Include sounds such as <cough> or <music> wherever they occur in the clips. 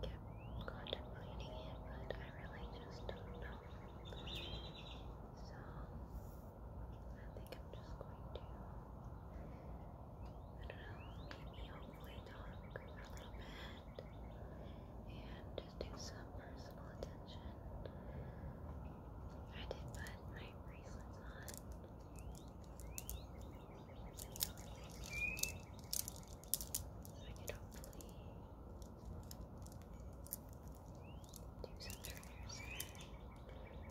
kept contemplating it, but I really just don't know. So I think I'm just going to, I don't know, maybe hopefully talk for a little bit and just do some personal attention. I did put my bracelets on could hopefully do some triggers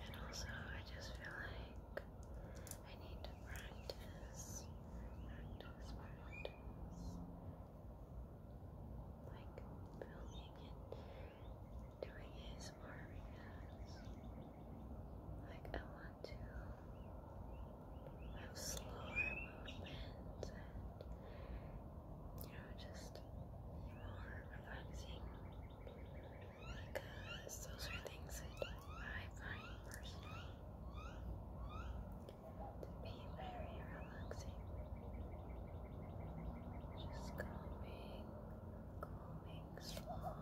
and also I just feel like I need to practice, practice, practice like filming and doing ASMR because like I want to have slower movements and you know just more relaxing because uh, those are things that I find personally to be very relaxing. Just calming, calming, slow.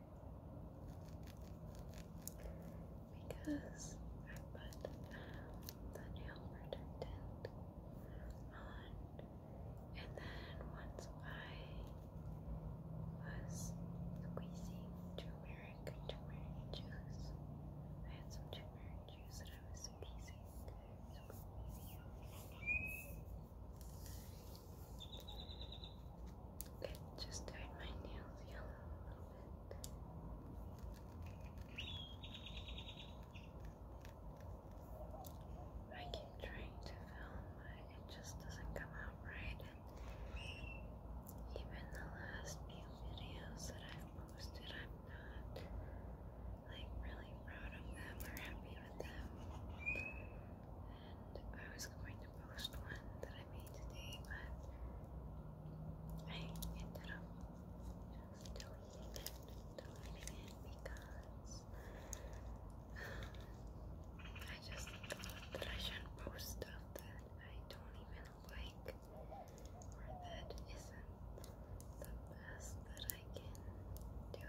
because I put the nail protectant on, and then once I was squeezing turmeric, turmeric juice, I had some turmeric juice that I was squeezing. squeezing. Okay, just turn my nails yellow a little bit. I keep trying to film, but it just doesn't come out right. even the last few videos that i posted, I'm not like really proud of them or happy with them. I was going to post one that I made today, but I ended up just deleting it, deleting it because <sighs> I just thought that I shouldn't post stuff that I don't even like or that isn't the best that I can do.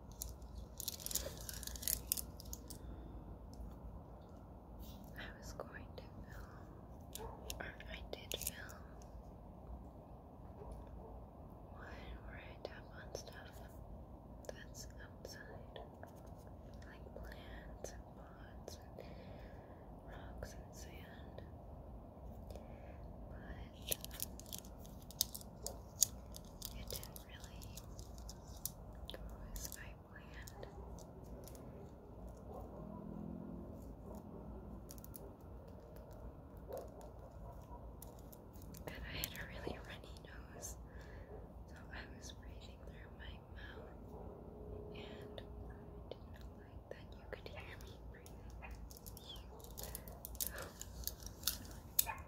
I was going to film, or I did film one where I on stuff that's outside, like plants and pots and rocks and sand. But it didn't really as I planned. And I had a really runny nose, so I was breathing through my mouth, and I didn't like that you could hear me breathing. So,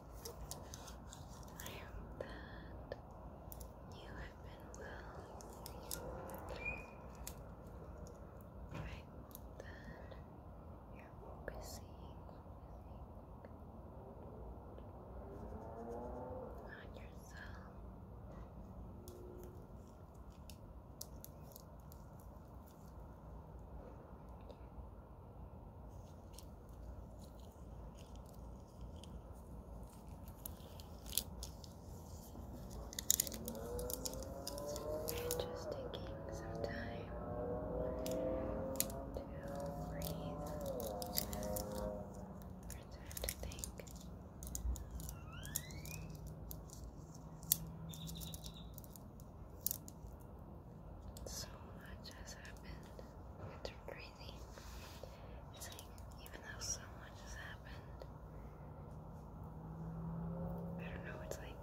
I hope that you have been well. I hope that you're busy. On yourself just taking some time to breathe or to think. So much has happened it's crazy. It's like, even though so much has happened, I don't know, it's like,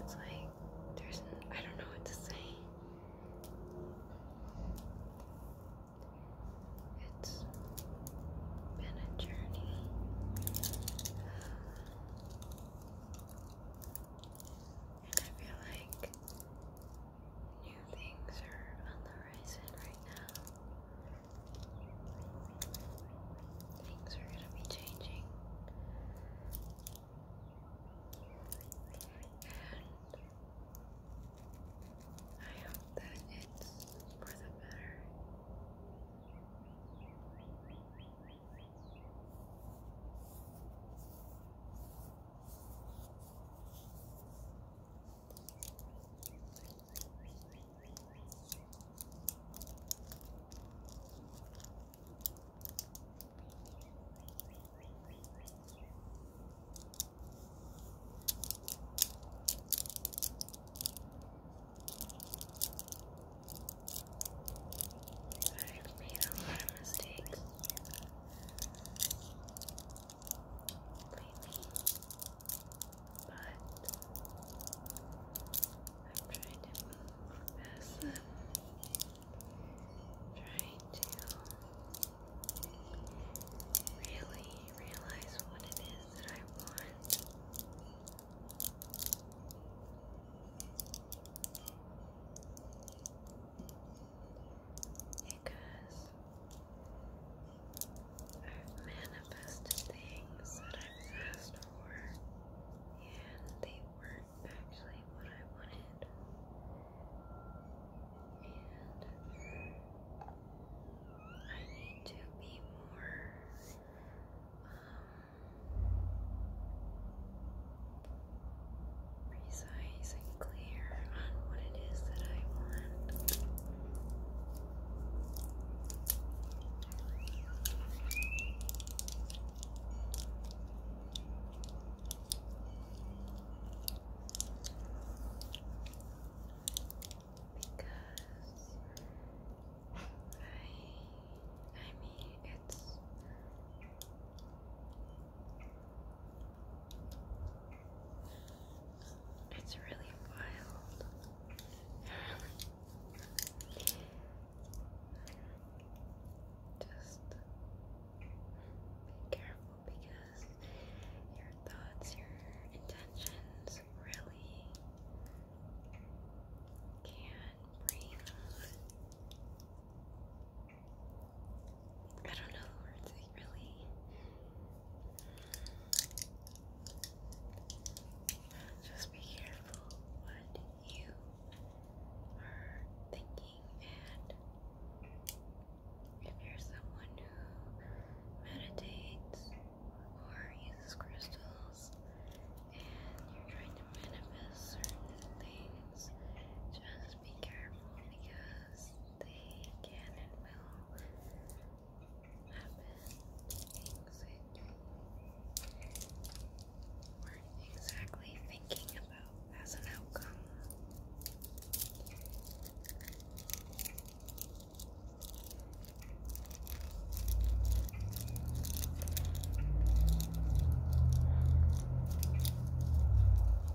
it's like, there's, I don't know what to say. It's been a journey. And I feel like new things are on the horizon right now. Things are going to be changing. And I hope that it's for the better. I've made a lot of mistakes lately, but I'm trying to move as i trying to really realize what it is that I want because I've manifested things that I've asked for and they weren't actually what I wanted. And I need to be more um, precise and clear on what it is that I want. Because I I mean it's it's really wild. <laughs> Just be careful because your thoughts, your intentions really can bring I don't know the words really. Just be careful what you are thinking and if you're someone who meditates or uses crystals and you're trying to manifest certain things, just just be careful because they can and will happen things that you weren't exactly thinking about as an outcome.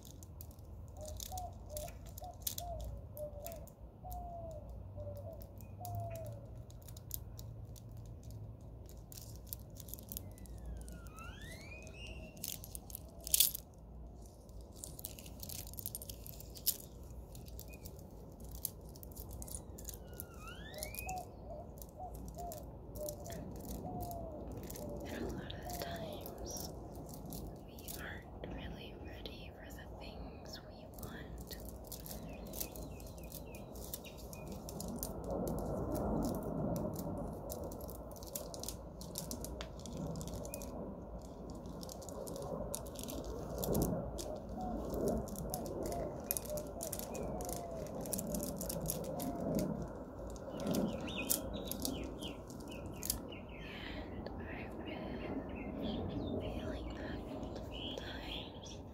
And a lot of the times we aren't really ready for the things we want. And I've been feeling that multiple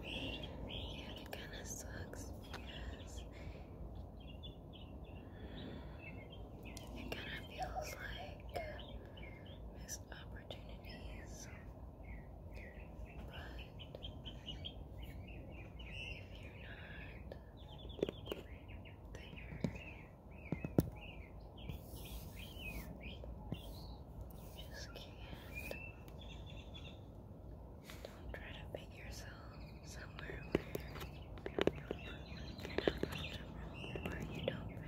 it kind of sucks because it kind of feels like missed opportunities. But if you're not there, just can't. Don't try to pick yourself somewhere where you're not comfortable, where you don't fit.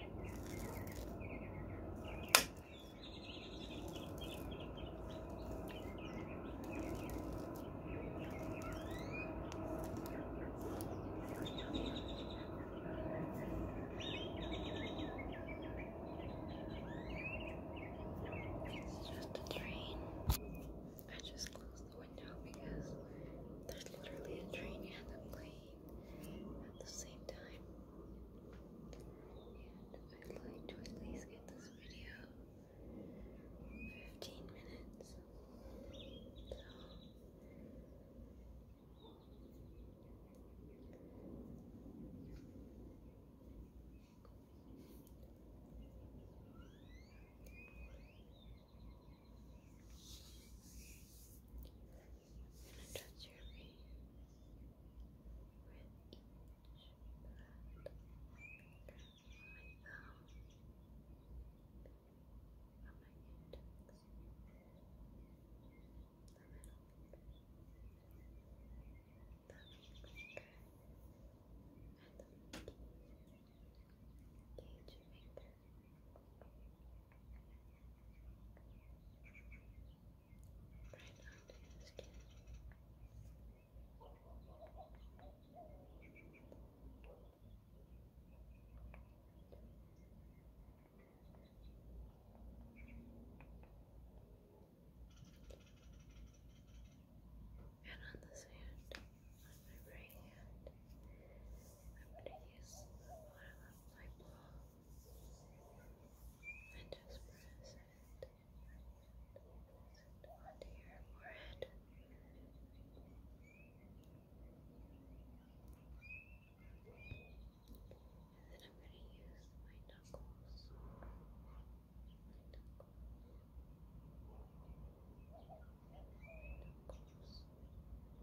It's just a train. I just closed the window because there's literally a train at the place at the same time. And I'd like to at least get this video 15 minutes gonna your face with each breath. My thumb on my index, the middle the middle and the pinky, gauge finger. Right onto your skin. And on the sand, on my right hand, I'm going to use the bottom of my ball and just press it onto your forehead. And then I'm going to use my knuckles. My knuckles. My knuckles.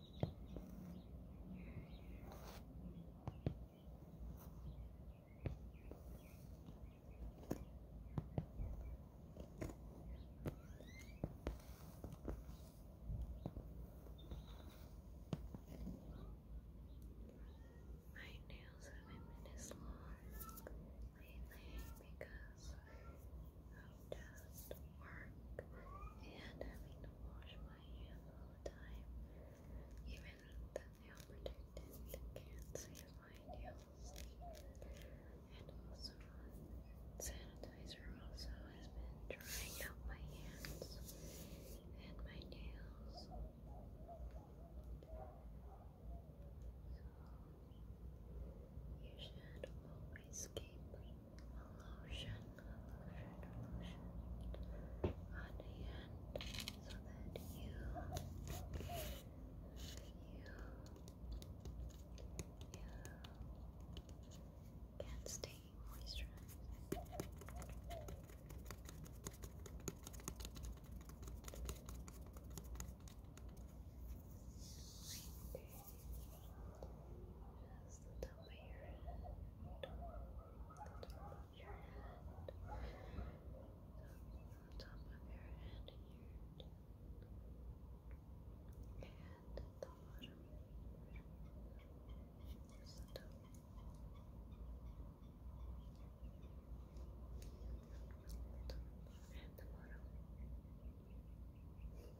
My nails have been minutes long lately because of dust work and having to wash my hands all the time. Even the nail protectant can't my nails. And also, sanitizer also has been drying out my hands and my nails. You should always keep a lotion, a lotion, a lotion on hand so that you, you, you can stay moisturized. Just the top of your head. The top of your head. The top of your head here. And the bottom. Just the top. The top and the bottom. Just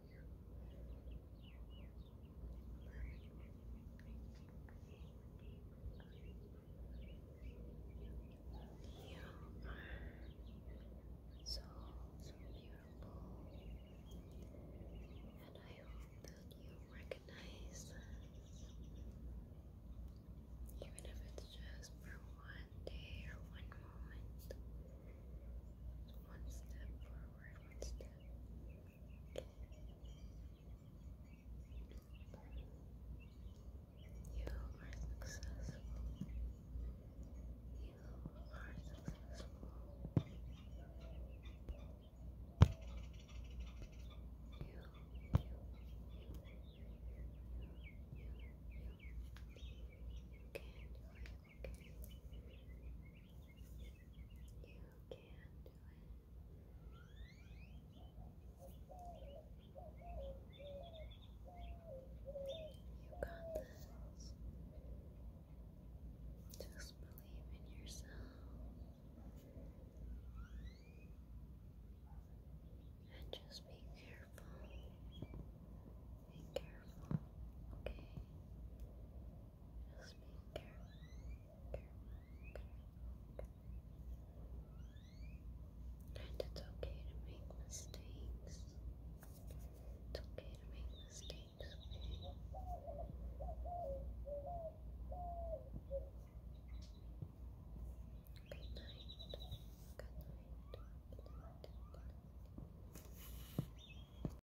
You are so, so beautiful, and I hope that you recognize even if it's just for one day or one moment. One step forward, one step you are successful. You are successful. You, you, you, you, you, you can do it this. Just believe in yourself. And just be careful. Be careful, okay? Just be careful, careful, careful. And it's okay to make mistakes. It's okay to make mistakes, Good night. Good night. Good night.